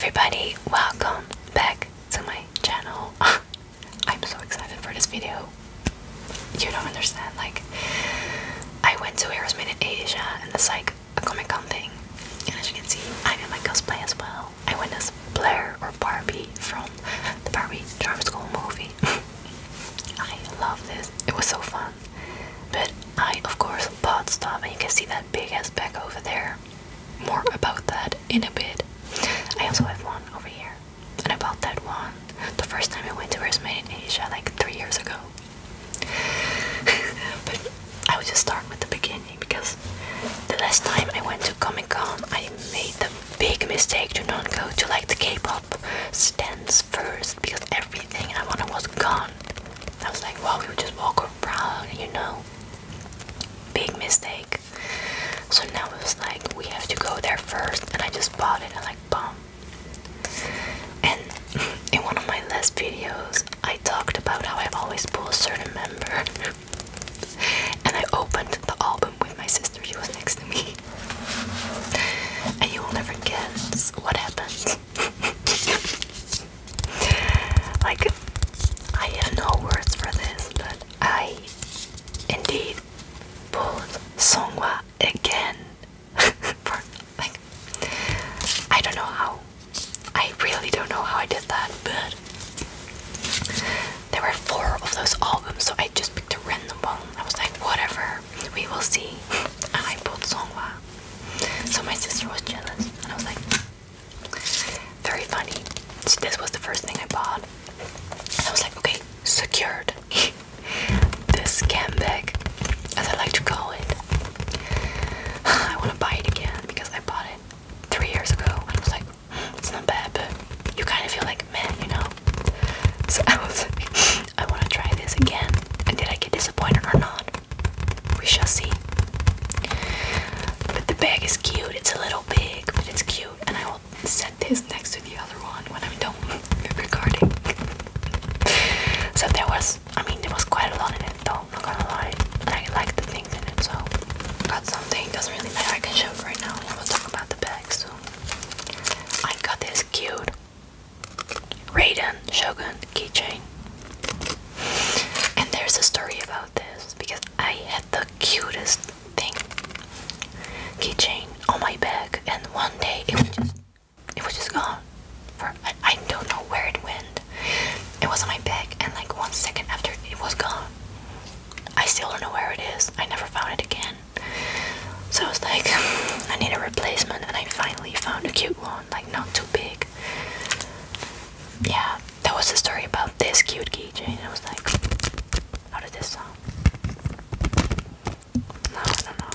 Everybody, welcome back to my channel. I'm so excited for this video. You don't understand. Like, I went to Heroes Made Asia and it's like a Comic Con thing. And as you can see, I'm in my cosplay as well. I went as Blair or Barbie from the Barbie Charm School movie. I love this. It was so fun. But I, of course, can't stuff, and you can see that big ass bag over there more about that in a bit. I also have one over here. And I bought that one the first time I went to Where's Made in Asia like three years ago. but I would just start with the beginning because the last time I went to Comic Con I made the big mistake to not go to like the K-pop stands first because everything I wanted was gone. I was like, wow, we would just walk proud, you know. Big mistake. So now it was like we have to go there first, and I just bought it. I like bomb. And in one of my last videos, I talked about how I always pull a certain member. and I opened the album with my sister. She was next to me. And you will never guess what happened like, I have no words for this, but I indeed pulled Songwa again. for, like, I don't know how. I really don't know how I did that, but there were four of those albums, so I just picked a random one. I was like, whatever, we will see. And I pulled Songwa. So my sister was jealous, and I was like, very funny. this was the first thing I bought. I was like, okay, secured. this scam bag, as I like to call it. I want to buy it again because I bought it three years ago, and I was like, hmm, it's not bad, but you kind of feel like, man, you know. So I was like, I want to try this again. And did I get disappointed or not? We shall see. But the bag is cute. It's a little big, but it's cute. And I will set this next to the other one when I'm done recording. so there was, I mean, there was quite a lot in it, though. I'm not gonna lie. But I like the things in it, so got something. Doesn't really matter. I can show it right now. We'll talk about the bag soon. I got this cute Rayden, Shogun keychain. And there's a story about this because I had the cutest thing keychain on my bag, and one day it was just it was just gone. For I, I don't know where it went. It was on my bag, and like one second after it was gone. I still don't know where it is. I never found it again. So I was like, I need a replacement, and I finally found a cute one, like not too big. Yeah, that was the story about this cute keychain. I was like, how did this song? No, I don't know.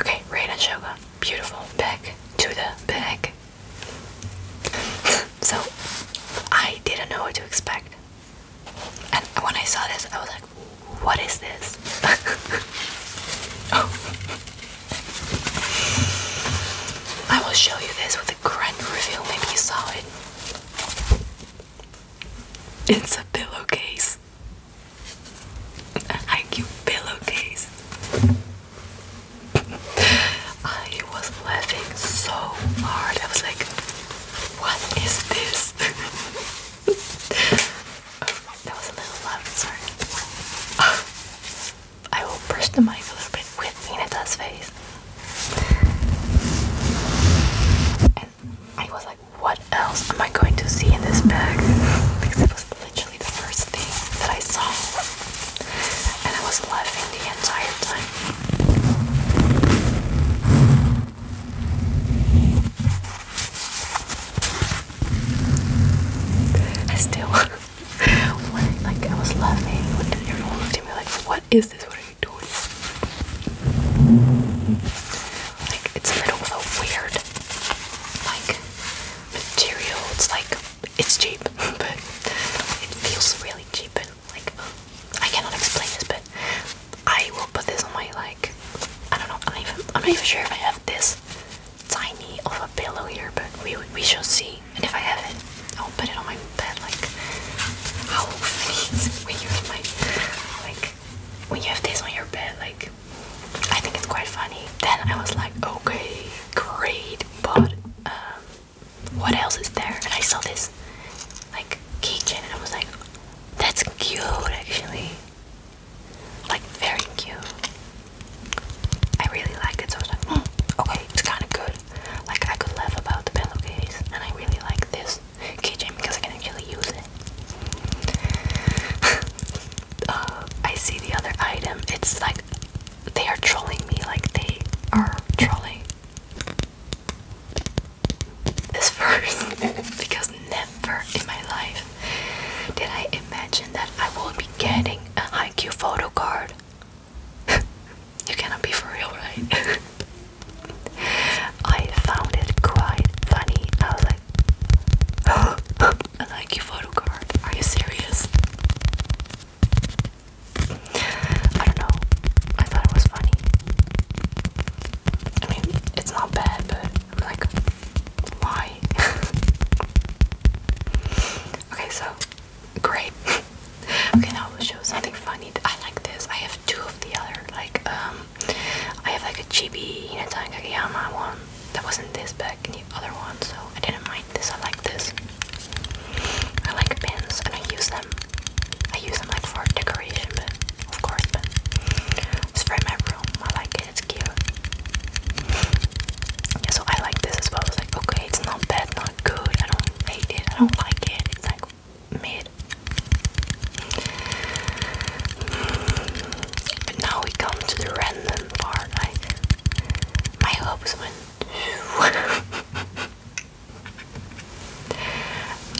Okay, Rain and Beautiful. Back to the bag. So I didn't know what to expect. And when I saw this, I was like, what is this? oh. I will show you this with a grand reveal. Maybe you saw it. It's a pillowcase. An IQ pillowcase. I was laughing so hard. I was like, what is this? oh, that was a little loud, sorry. I will brush the mic a little bit with Ineta's face. And I was like, what else am I going to see in this bag? Because it was literally the first thing that I saw and I was laughing the entire time. I still like I was laughing everyone looked at me like, what is this? What are you doing? Like it's made of weird like material. It's like it's cheap, but it feels really cheap and like I cannot explain this, but I will put this on my like I don't know. I'm not even sure if I have this tiny of a pillow here, but we we shall see. And if I have it, I'll put it on my bed. Like how funny is when you have like when you have this on your bed, like I think it's quite funny. Then I was like, okay, great but um, what else is there? And I saw this like keychain, and I was like, that's cute, actually. Like very cute. I really like it, so I was like, hmm, okay, it's kind of good. Like I could laugh about the pillowcase, and I really like this keychain because I can actually use it. Uh, I see the other item. It's like they are trolling me like they are trolling this verse. because never in my life did I imagine that I would be getting a haiku photo card. you cannot be for real, right? I found it quite funny. I I like your photo card. Are you serious? I don't know. I thought it was funny. I mean, it's not bad, but I'm like, why? okay, so great. okay, now I will show something funny. I like this. I have two of the other. Like, um, I have like a chibi Hinata and Kageyama one that wasn't this bad black and the other one, so I didn't mind this. I like this. I like pins and I use them. I use them like for decoration, but of course, but spray my room. I like it. It's cute. Yeah, so I like this as well. It's like okay, it's not bad, not good. I don't hate it. I don't like it. It's like mid. But now we come to the random my hopes went.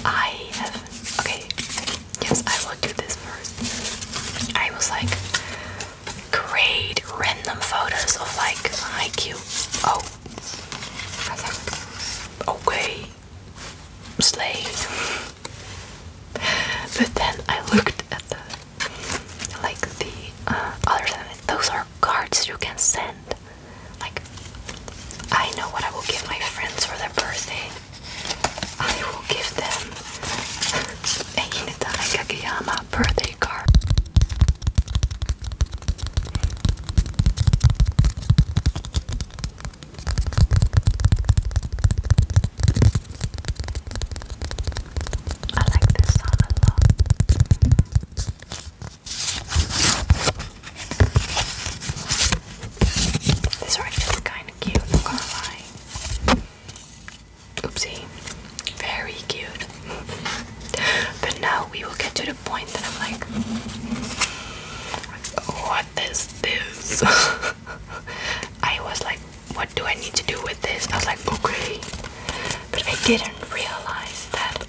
I have okay. Yes, I will do this first. I was like, create random photos of like IQ. Oh, I think okay, slate. But then I looked at like the uh, other side. Those are cards you can send. Like I know what I will give my friends for their birthday. I will give them a Hinata birthday card. I like this song a lot. These are actually kind of cute, I'm gonna lie. Oopsie, very cute. but now we will get to the point that I'm like, what is this? I was like, what do I need to do with this? I was like, okay. But I didn't realize that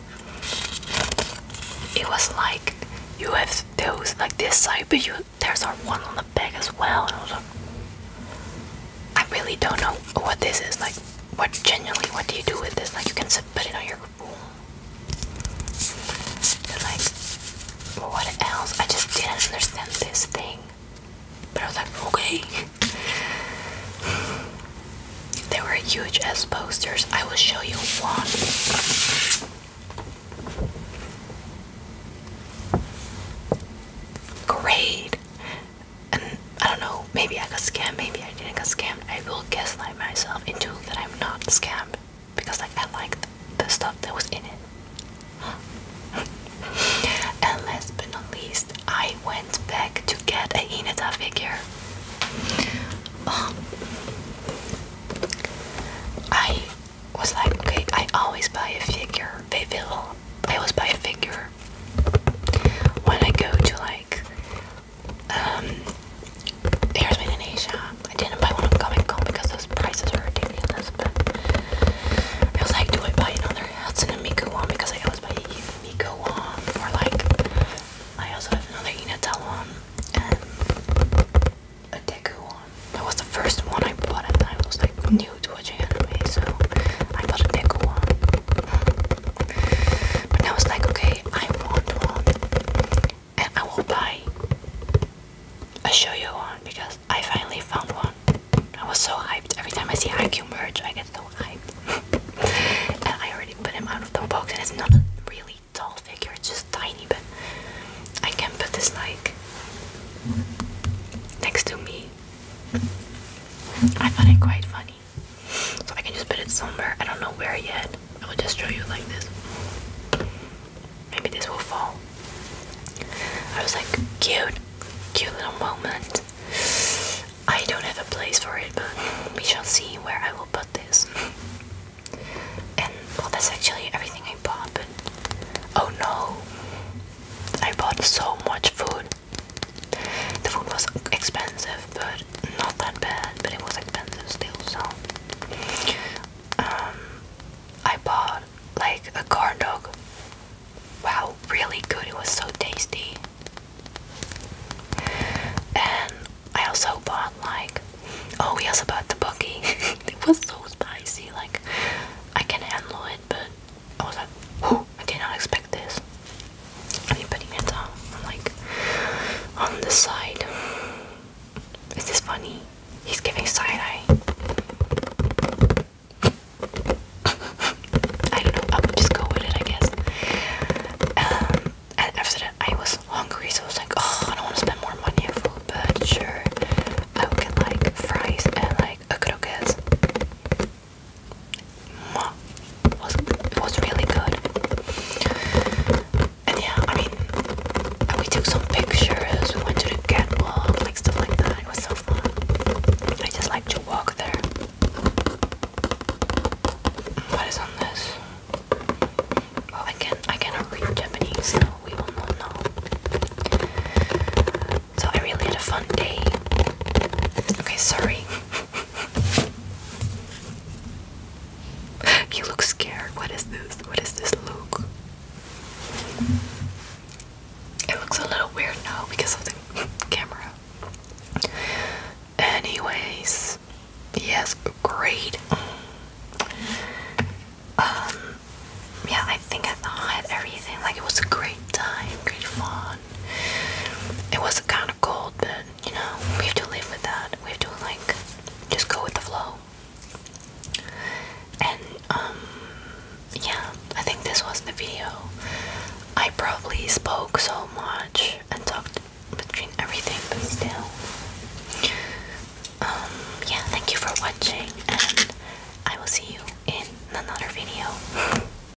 it was like you have those like this side, but you there's our one on the back as well. And I was like, I really don't know what this is. Like, what genuinely, what do you do with this? Like, you can sit, put it on your like, what else? I just didn't understand this thing. But I was like, okay. There were huge S posters. I will show you one. Great. And I don't know, maybe I got scammed, maybe I didn't get scammed. I will gaslight myself into that I'm not scammed because like I liked the stuff that was in it. and last but not least, I went back to get a Hinata figure. Um, I was like, okay, I always buy a figure. I always buy a figure when I go to like um, Here's made in Asia. I didn't buy one of Comic because those prices are ridiculous, but I was like, do I buy another Hudson Miku one? Because I always buy a Miku one, or like, I also have another Inatel one, and a Deku one. That was the first one I bought, and I was like new to watching anime, so I bought a Deku one. But I was like, okay, I want one and I will buy a you one because I finally found one. I was so hyped. Every time I see IQ merch, I get so hyped. and I already put him out of the box, and it's not a really tall figure, it's just tiny, but I can put this like next to me. I find it quite funny. So I can just put it somewhere. I don't know where yet. I will just show you like this. Maybe this will fall. I was like, cute, cute little moment. I don't have a place for it, but we shall see where I will put this. And well, that's actually everything I bought, but oh no, I bought so much food. The food was expensive but not that bad. But it was expensive still, so um, I bought like a corn dog. Wow, really good! It was so tasty. And I also bought like oh, we also bought the buggy. it was so spicy. Like I can handle it, but I was like, whoo, I did not expect this. I'm on, like, on the side. Is this funny? He's giving side eye. I don't know, I'll just go with it, I guess. Um, and after that, I was hungry, so I was like, oh, I don't want to spend more money on food, but sure, I will get like fries and like a croquette. It was, really good. And yeah, I mean, we took some pictures, we went to the catwalk, like stuff like that. It was so fun. I just like to walk there. What is on this? Well, I can I cannot read Japanese, we will not know. So I really had a fun day. Okay, sorry. you look scared. What is this? What is this look? It looks a little weird now because of the camera. Anyways, yes, great. Um, yeah, I think I thought everything. Like it was a great time, great fun. It was kind of cold, but you know, we have to live with that. We have to like just go with the flow. And um yeah, I think this was the video. I probably spoke so much and talked between everything, but still. Um yeah, thank you for watching and I will see you in another video.